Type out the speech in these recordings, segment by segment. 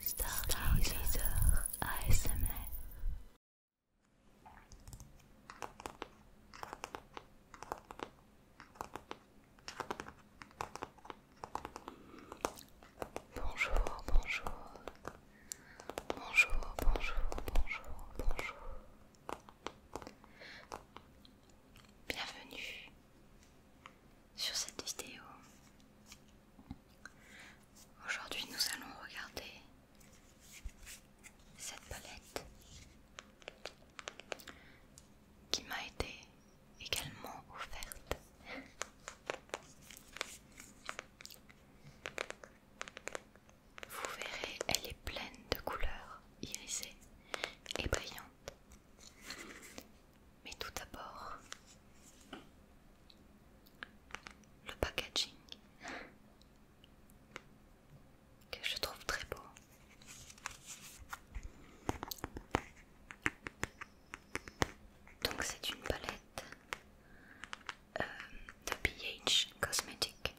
Stargazer ASMR Bonjour, bonjour. Bonjour, bonjour, bonjour, bonjour. Bienvenue sur cette vidéo. Aujourd'hui, nous allons regarder cette palette qui m'a été également offerte. Vous verrez, elle est pleine de couleurs irisées et brillantes. Mais tout d'abord, le packaging que je trouve très beau. Donc c'est une palette euh, de BH Cosmetic.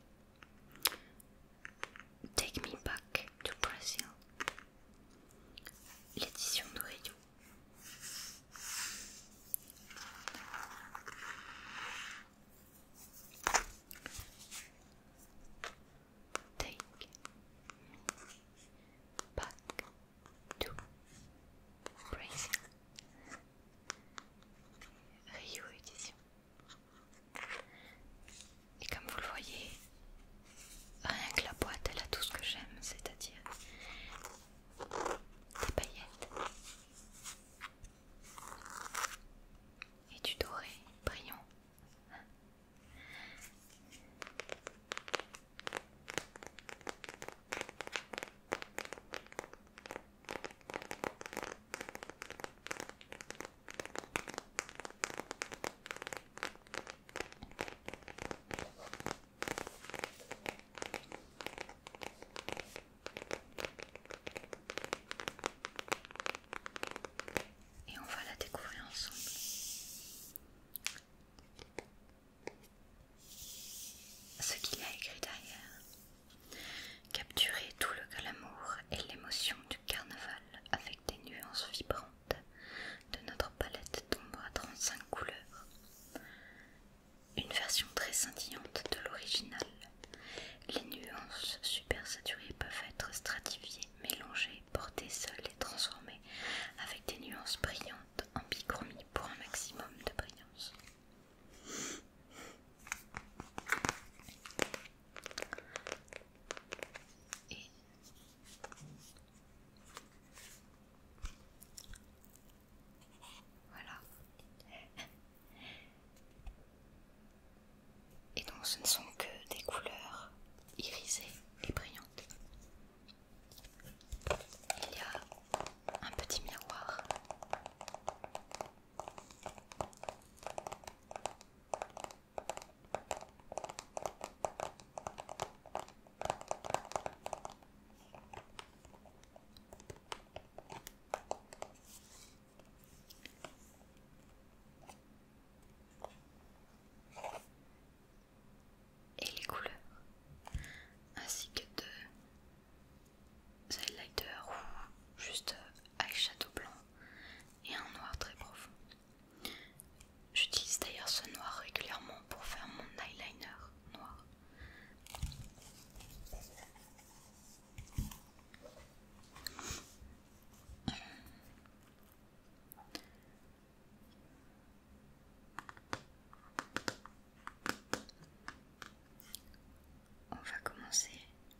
Take Me Back to Brazil. L'édition de Redu. Take me back to Brazil. Rio Édition. Et comme vous le voyez, Rien que la boîte, elle a tout ce que j'aime, c'est-à-dire des paillettes et du doré brillant. Et on va la découvrir ensemble. Ce qu'il a écrit derrière. Capturer tout le glamour et l'émotion du carnaval avec des nuances vibrantes de notre palette tombe à 35 couleurs. Une version très scintillante de l'original. Les nuances super supersaturées peuvent être stratifiées, mélangées, portées seules et transformées avec des nuances brillantes en bichromie pour un maximum de brillance. Voilà. Et donc ce ne sont que des couleurs irisées et brillantes. Il y a un petit miroir et les couleurs ainsi que de lighter ou juste château blanc et un noir très profond J'utilise d'ailleurs ce noir régulièrement pour faire mon eyeliner noir. On va commencer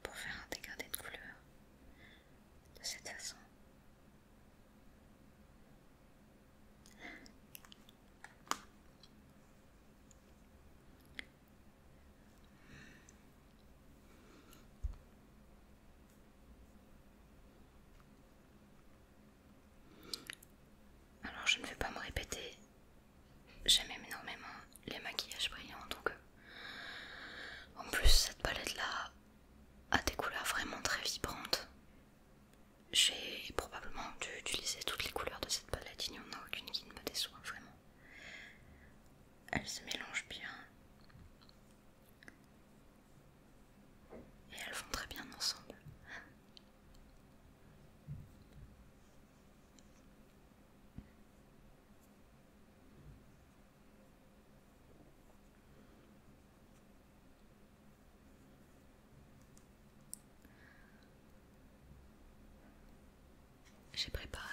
pour faire un dégradé de couleur de cette façon. Alors je ne vais pas me répéter, j'aime énormément les maquillages brillants donc euh, en plus cette palette là à des couleurs vraiment très vibrantes. J'ai probablement dû utiliser toutes les couleurs de cette palette, il n'y en a aucune qui ne me déçoit vraiment. Elles se mélangent bien. Et elles vont très bien ensemble. J'ai préparé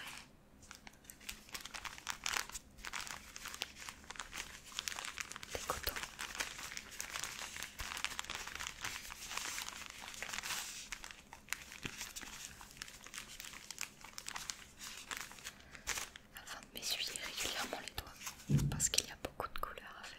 des cotons afin de m'essuyer régulièrement les doigts parce qu'il y a beaucoup de couleurs à faire.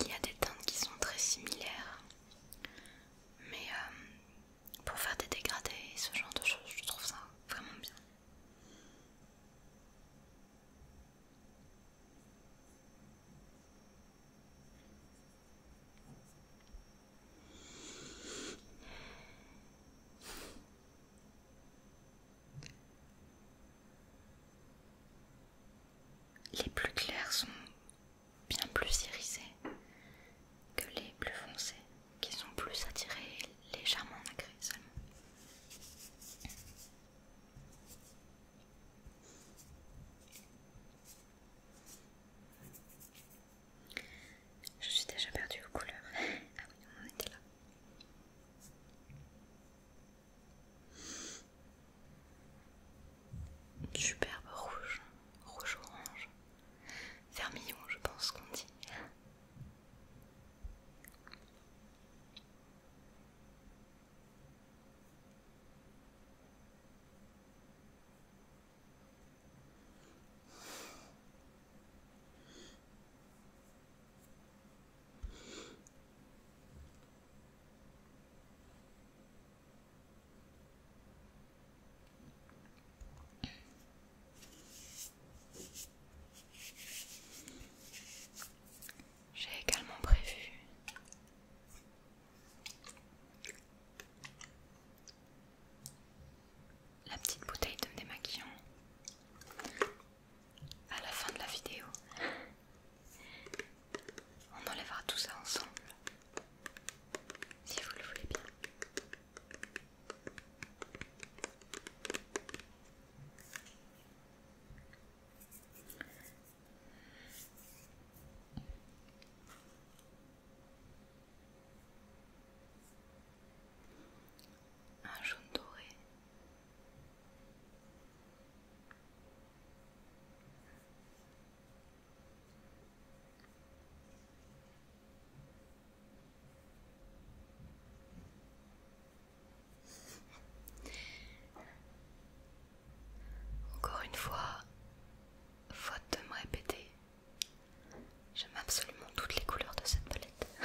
il y a des teintes qui sont très similaires, mais euh, pour faire des dégradés et ce genre de choses, je trouve ça vraiment bien. Les plus clairs sont bien plus irisés que les plus foncés, qui sont plus attirés légèrement en seulement. Je suis déjà perdue aux couleurs. ah oui, on en était là superbe rouge, rouge-orange. Vermillon, je pense qu'on dit. J'ai également prévu la petite bouteille de démaquillant à la fin de la vidéo. On enlèvera tout ça ensemble, si vous le voulez bien. Un jaune doré, encore une fois, faute de me répéter, j'aime absolument toutes les couleurs de cette palette.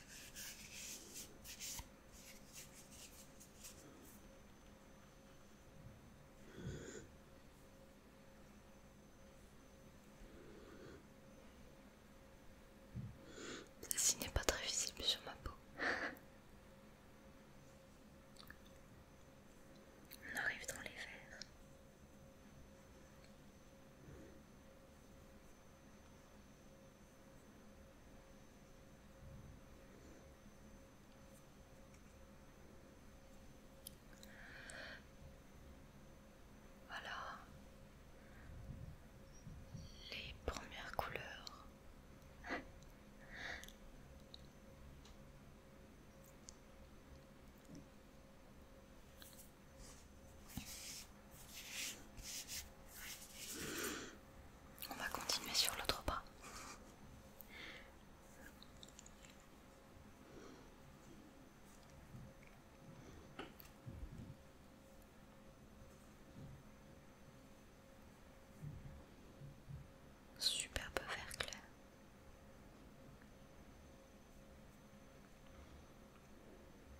Ceci n'est pas très visible sur ma peau. On arrive dans les verres. Voilà les premières couleurs. On va continuer sur l'autre bras. Superbe vert clair.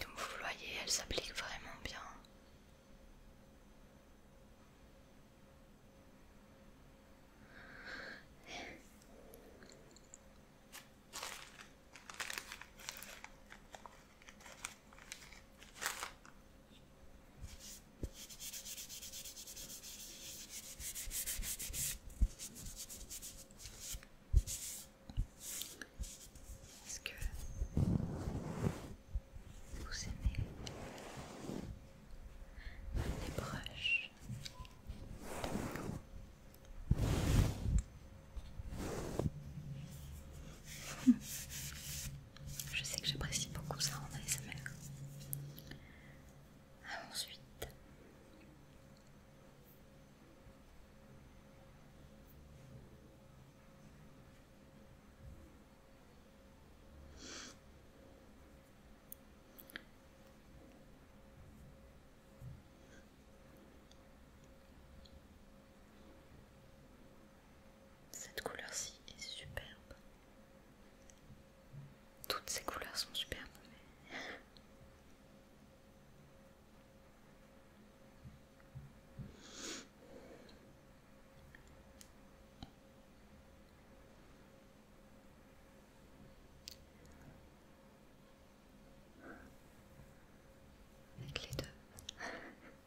Comme vous voyez, elle s'applique vraiment bien. Est-ce que vous aimez les broches je sais que j'apprécie beaucoup ça en ASMR. Ah, ensuite. Cette couleur-ci est superbe. Toutes ces couleurs sont superbes. Avec les deux.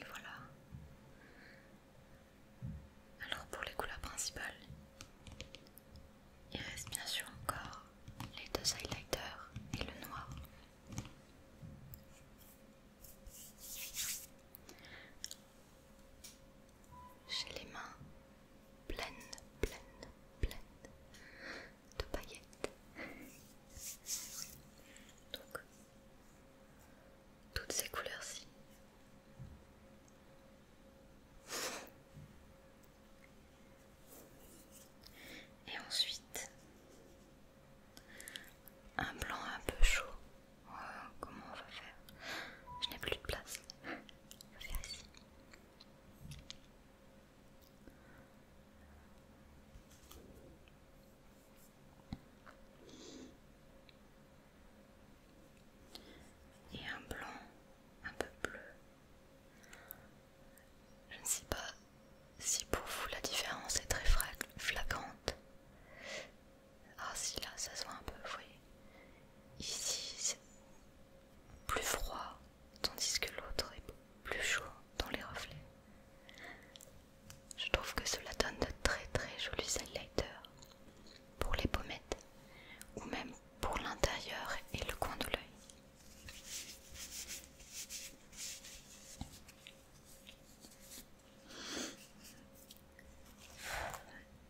Et voilà. Alors pour les couleurs principales, il reste bien sûr encore les deux highlighters et le noir. J'ai les mains pleines, pleines, pleines de paillettes. Donc, toutes ces couleurs-ci. Et ensuite, un blanc un peu chaud. Euh, comment on va faire Je n'ai plus de place. Et un blanc un peu bleu. Je ne sais pas si pour vous la différence est très flagrante. Ah si là ça se voit un peu, vous voyez. Ici c'est plus froid, tandis que l'autre est plus chaud dans les reflets. Je trouve que cela donne de très très jolis highlighters pour les pommettes ou même pour l'intérieur et le coin de l'œil.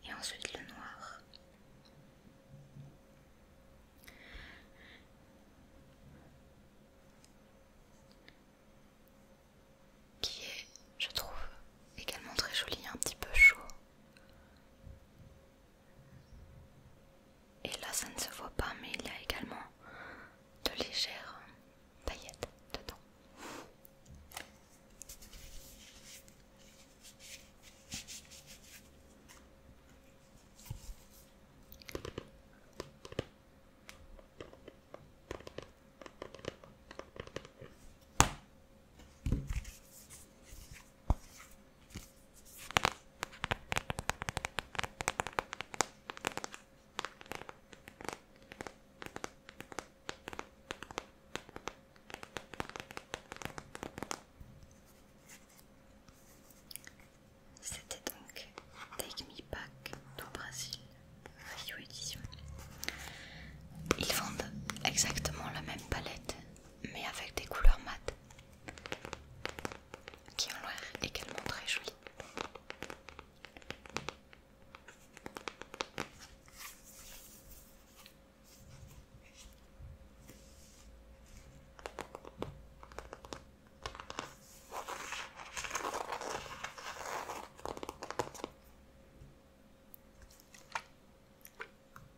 Et ensuite le noir. Qui est, je trouve, également très joli, un petit peu chaud. Et là, ça ne se voit pas, mais il y a également de légères paillettes dedans. C'était donc Take Me Back du Brésil, Rio Edition. Ils vendent exactement la même palette, mais avec des couleurs mates qui ont l'air également très jolies.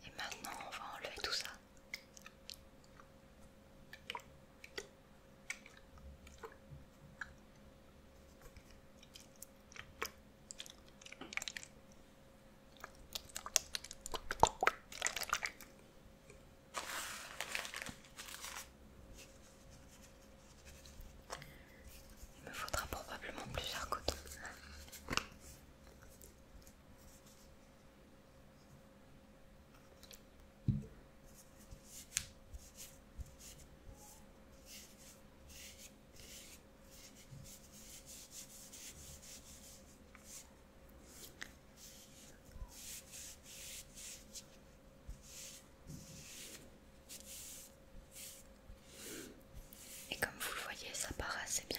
Et maintenant, on va enlever tout ça. Il me faudra probablement plusieurs côté et comme vous le voyez, ça part assez bien.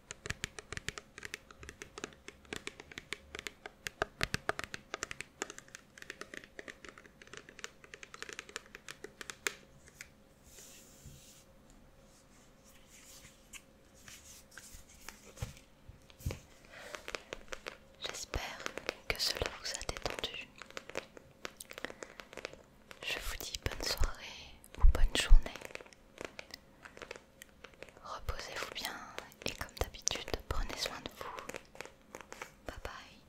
J'espère que cela vous a détendu. Je vous dis bonne soirée ou bonne journée Reposez-vous bien et comme d'habitude, prenez soin de vous. Bye bye.